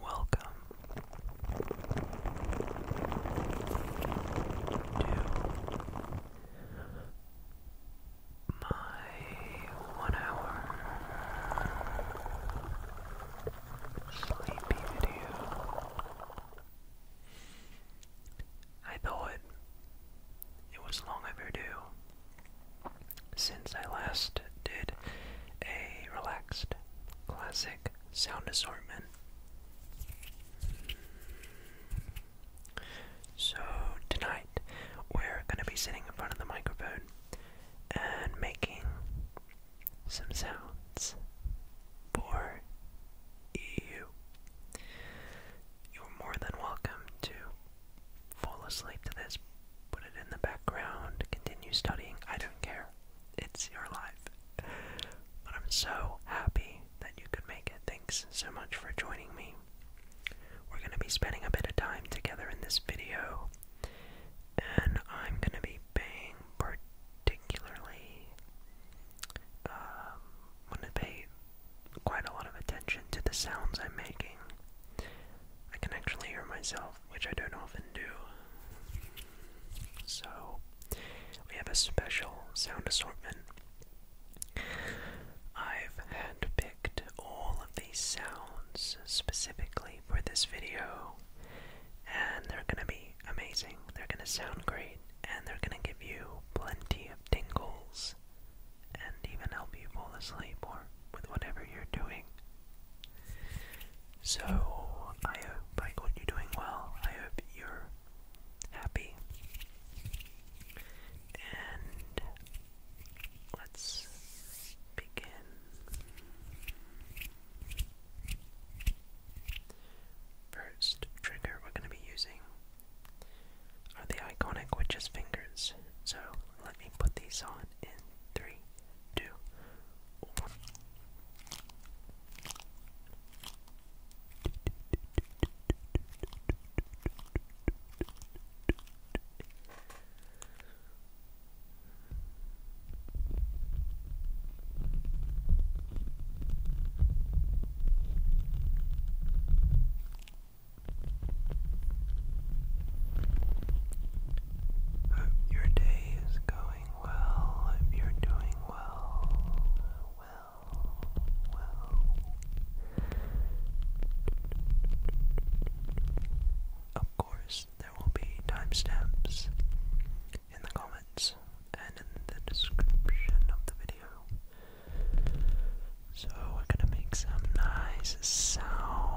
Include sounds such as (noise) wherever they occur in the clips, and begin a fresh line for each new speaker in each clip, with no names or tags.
Welcome to my one hour sleepy video. I thought it was long overdue since I last did a relaxed classic sound assortment. So, tonight we're going to be sitting in front of the microphone and making some sounds for you you're more than welcome to fall asleep to this, put it in the background, continue studying. I don't care. It's your life. But I'm so happy that you could make it. Thanks so much for joining me. We're going to be spending a bit of time together in this video, and I'm going to be paying particularly. Um, i to pay quite a lot of attention to the sounds I'm making. I can actually hear myself, which I don't often do. So, we have a special sound assortment. I've handpicked all of these sounds specifically for this video, and they're gonna be amazing. They're gonna sound great and they're gonna give you plenty of tingles and even help you fall asleep or with whatever you're doing. So, I hope I got you are doing well. I hope you're happy. And let's begin. First trigger we're going to be using are the iconic witch's fingers. So let me put these on in three, two, one. Hope your day is going well. Hope you're doing well. Well, well. Of course, there will be timestamps in the comments and in the description of the video. So we're gonna make some nice sound.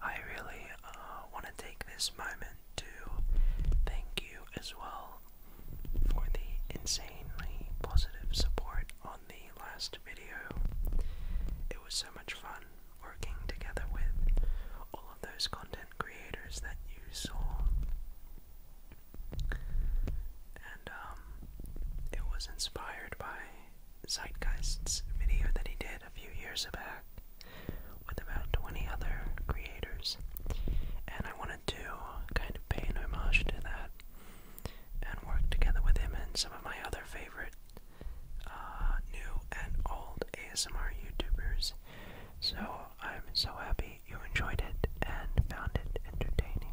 I really uh, want to take this moment to thank you as well for the insanely positive support on the last video. It was so much fun working together with all of those content creators that you saw. And um, it was inspired by Zeitgeist's video that he did a few years back with about 20 other creators, and I wanted to kind of pay an homage to that and work together with him and some of my other favorite uh, new and old ASMR YouTubers. So I'm so happy you enjoyed it and found it entertaining.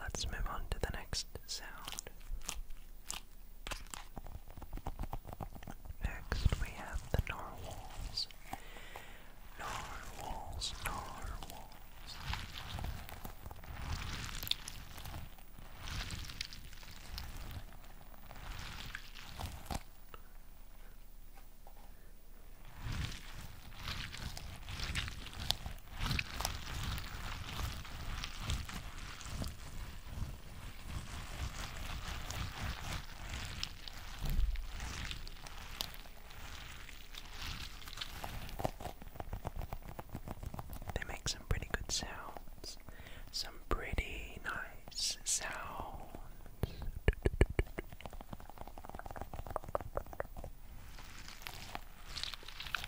Let's move on to the next sound. Next, we have the narwhals. Narwhals, narwhals. They make some pretty good sounds. Some pretty nice sounds.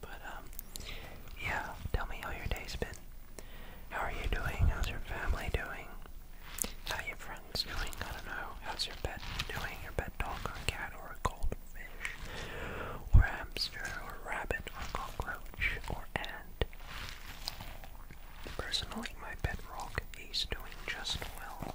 But um yeah, tell me how your day's been. How are you doing? How's your family doing? How are your friends cat's doing. I don't know. How's your pet doing? Your pet dog or cat or a goldfish or hamster or rabbit or cockroach or ant? Personally, my pet rock is doing just well.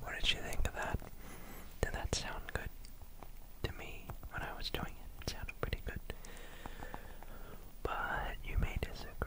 What did you think of that? Did that sound good to me when I was doing it? It sounded pretty good. But you may disagree.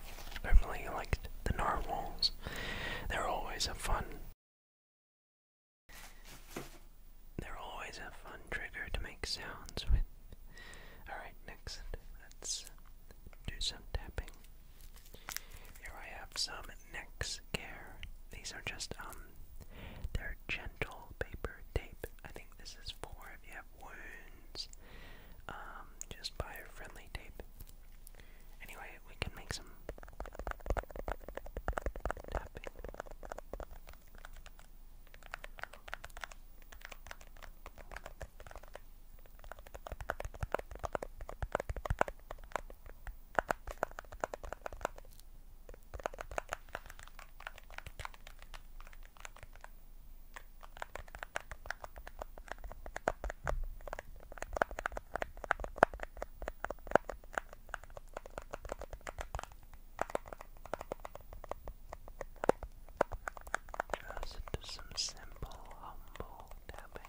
I really the narwhals. They're always a fun They're always a fun trigger to make sounds with. Alright, next let's do some tapping. Here I have some Nex Care. These are just um they're gentle paper tape. I think this is for if you have wounds um, just buy a friendly tape. Anyway, we can make some tapping. Just some simple, humble tapping.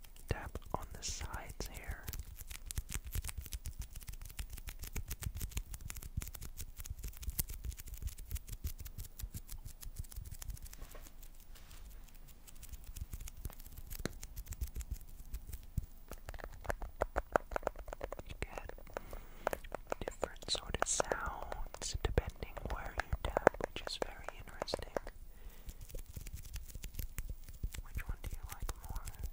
tap on the sides here. You get different sort of sounds depending where you tap, which is very interesting. Which one do you like more? Okay.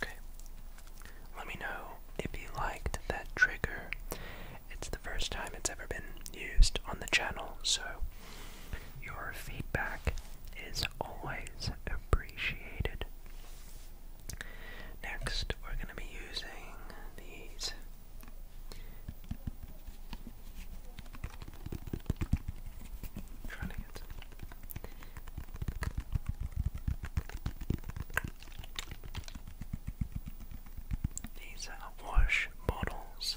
Okay. Let me know if you liked that trigger. It's the first time it's ever been used on the channel, so your feedback is always appreciated. Next, we're going to be using these. trying to these are wash bottles.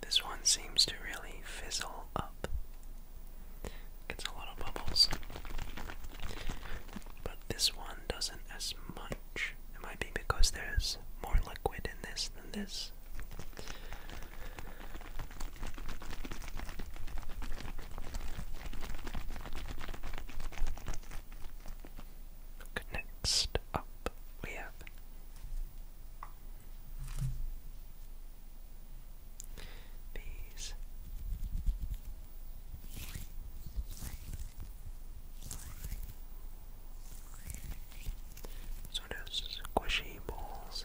This one seems to really fizzle up. Gets a lot of bubbles. But this one doesn't as much. It might be because there's more liquid in this than this. Next we have these sort of squishy balls.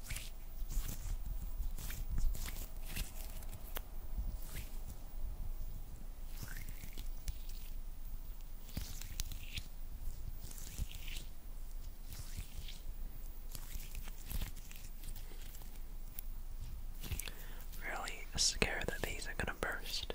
Really scared that these are gonna burst.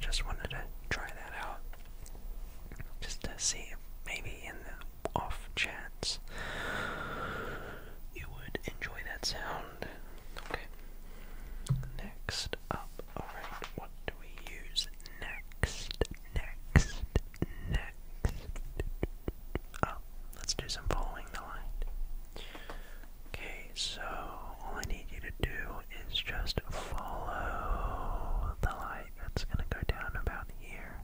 Just wanted to try that out. Just to see if maybe in the off chance you would enjoy that sound. Okay. Next up, alright, what do we use next? Next, next. Oh, let's do some following the light. Okay, so all I need you to do is just follow the light that's gonna go down about here.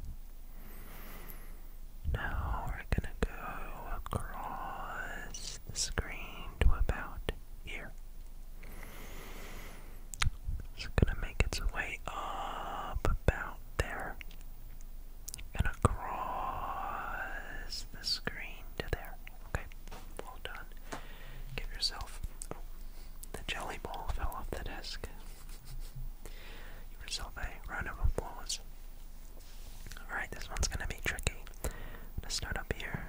Now we're gonna go across the screen to about here. It's gonna make its way up about there and across the screen to there. Okay, well done. Give yourself the jelly ball fell off the desk. yourself a round of applause. Alright, this one's gonna be tricky. gonna start up here.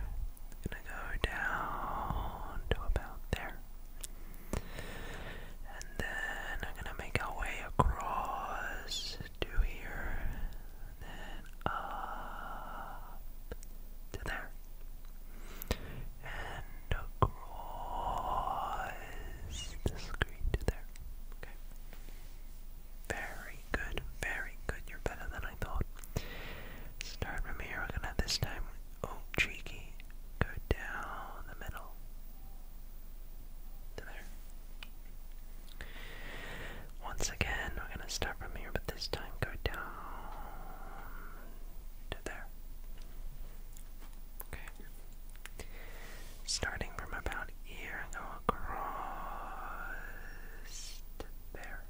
gonna go down to about there. And then I'm gonna make our way across to here. then up to there. And across the screen to there. Okay. Very good, very good. You're better than I thought. Start from here. We're gonna this time. Oh, cheeky. Go down the middle. To there. Once again, we're gonna start from here, but this time go down to there. Okay. Starting from about here and go across to there.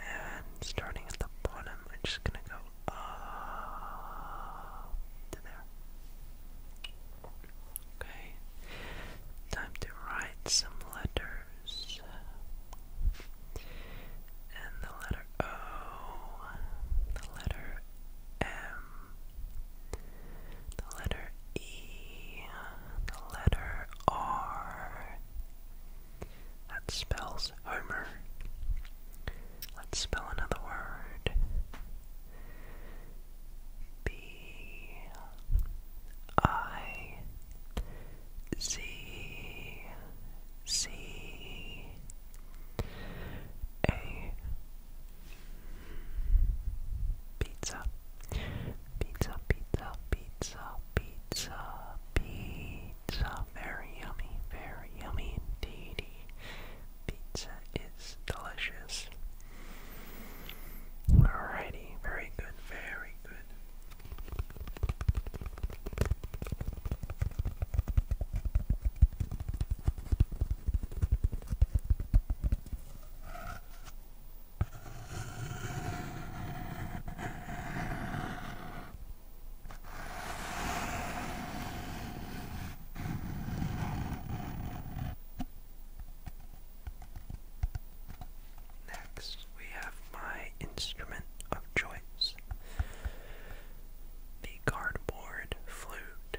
And starting at the bottom, I'm just gonna go up to there. Okay, time to write some letters. And the letter O, the letter M, the letter E, the letter R. That spells Homer. Let's spell another word. B I Z C A Pizza. Pizza, pizza, pizza, pizza, pizza. Very yummy, very yummy indeed. Pizza is delicious. Alrighty, very good, very good. Next, we have my instrument of choice the cardboard flute.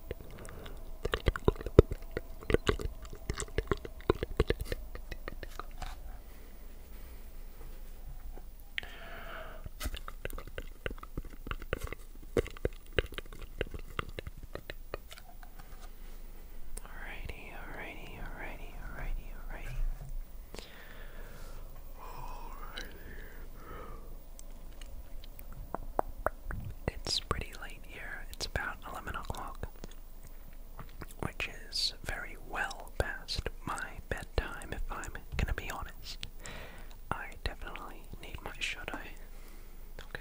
Alrighty, alrighty, alrighty, alrighty, alrighty. Alrighty. It's pretty late here. It's about 11 o'clock, which is very well past my bedtime, if I'm gonna be honest. I definitely need my shut eye. Okay.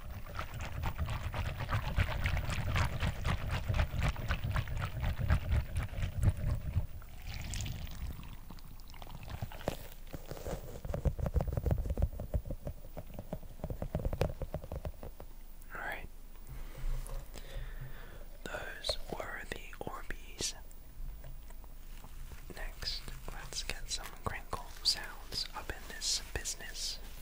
All right. Those were the Orbeez. Next, let's get some crinkle sounds up in this business.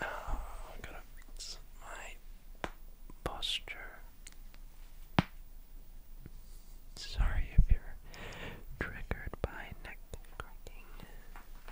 Oh, I gotta fix my posture. Sorry if you're triggered by neck cracking.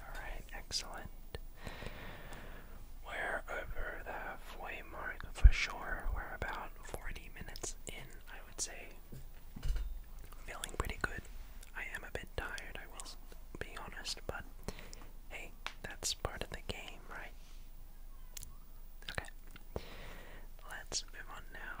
All right, excellent. We're over the halfway mark for sure. We're about 40 minutes in, I would say. Feeling pretty good. I am a bit tired, I will be honest, but hey, that's part of the game, right? Okay. Let's move on now.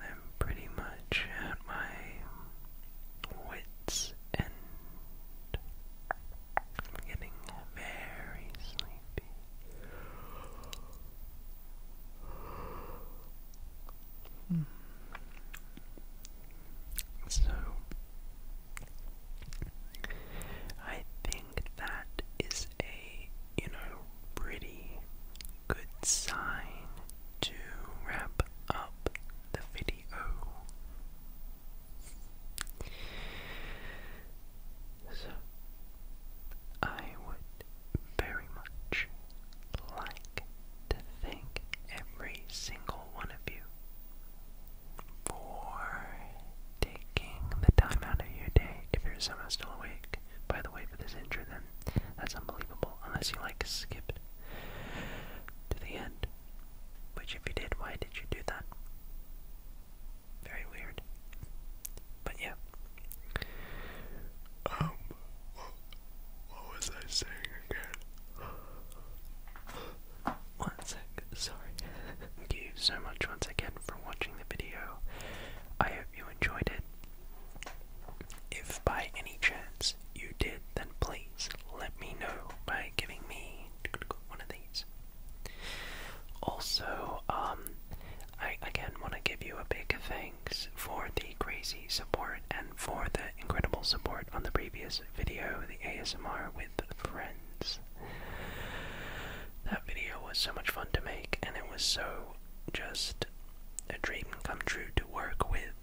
I'm pretty much at my wits' end. I'm getting very sleepy. Mm. So, I think that is a, you know, pretty good sign to wrap up the video. So, I would very much like to thank every single one of you for taking the time out of your day. If you're somehow still awake, by the way, for this intro, then that's unbelievable. Unless you like skipped to the end. Which, if you did, why did you do that? Very weird. But yeah. Um, what was I saying again? One sec, sorry. Thank you so much once again for watching the video. I hope you enjoyed it. If by any chance you did, then please let me know by giving me one of these. Also, um, I again want to give you a big thanks for the crazy support and for the incredible support on the previous video, the ASMR with friends. That video was so much fun to make, and it was so just a dream come true to work with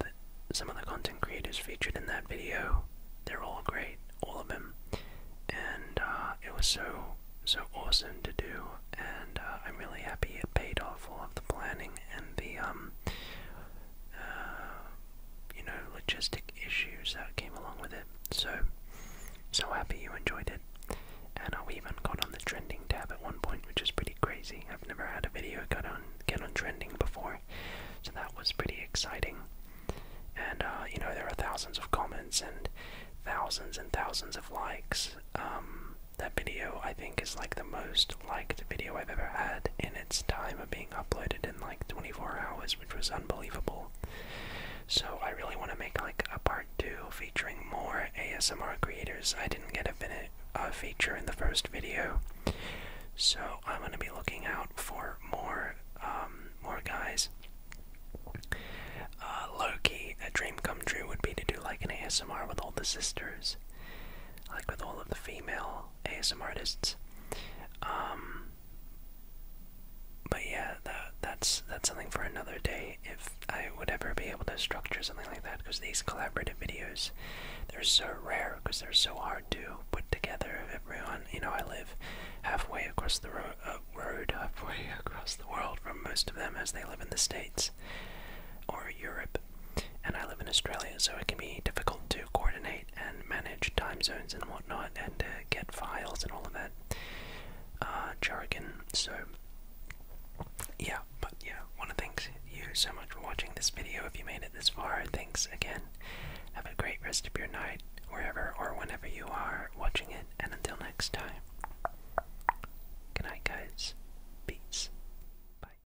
some of the content creators featured in that video. They're all great, all of them. And uh, it was so, so awesome to do, and uh, I'm really happy it paid off all of the planning and the um, uh, you know, logistic issues that came along with it. So, so happy you enjoyed it. And I uh, even got on the trending tab at one point, which is pretty crazy. I've never had a video get on get on trending before, so that was pretty exciting. And uh, you know, there are thousands of comments and thousands and thousands of likes. Um, that video I think is like the most like the video I've ever had in its time of being uploaded in like 24 hours, which was unbelievable. So I really want to make like a part two featuring more ASMR creators. I didn't get a, a feature in the first video, so I'm going to be looking out for more um, more guys. Uh, Loki, a dream come true would be to do like an ASMR with all the sisters, like with all of the female ASM artists. Um, but yeah, that that's that's something for another day. If I would ever be able to structure something like that, because these collaborative videos, they're so rare because they're so hard to put together. Everyone, you know, I live halfway across the uh, road halfway (laughs) across the world from most of them, as they live in the states or Europe, and I live in Australia, so it can be difficult to coordinate and manage time zones and whatnot, and uh, get files and all of that uh, jargon. So, yeah, but yeah, want to thank you so much for watching this video. If you made it this far, thanks again. Have a great rest of your night, wherever or whenever you are watching it, and until next time. Good night, guys. Peace. Bye.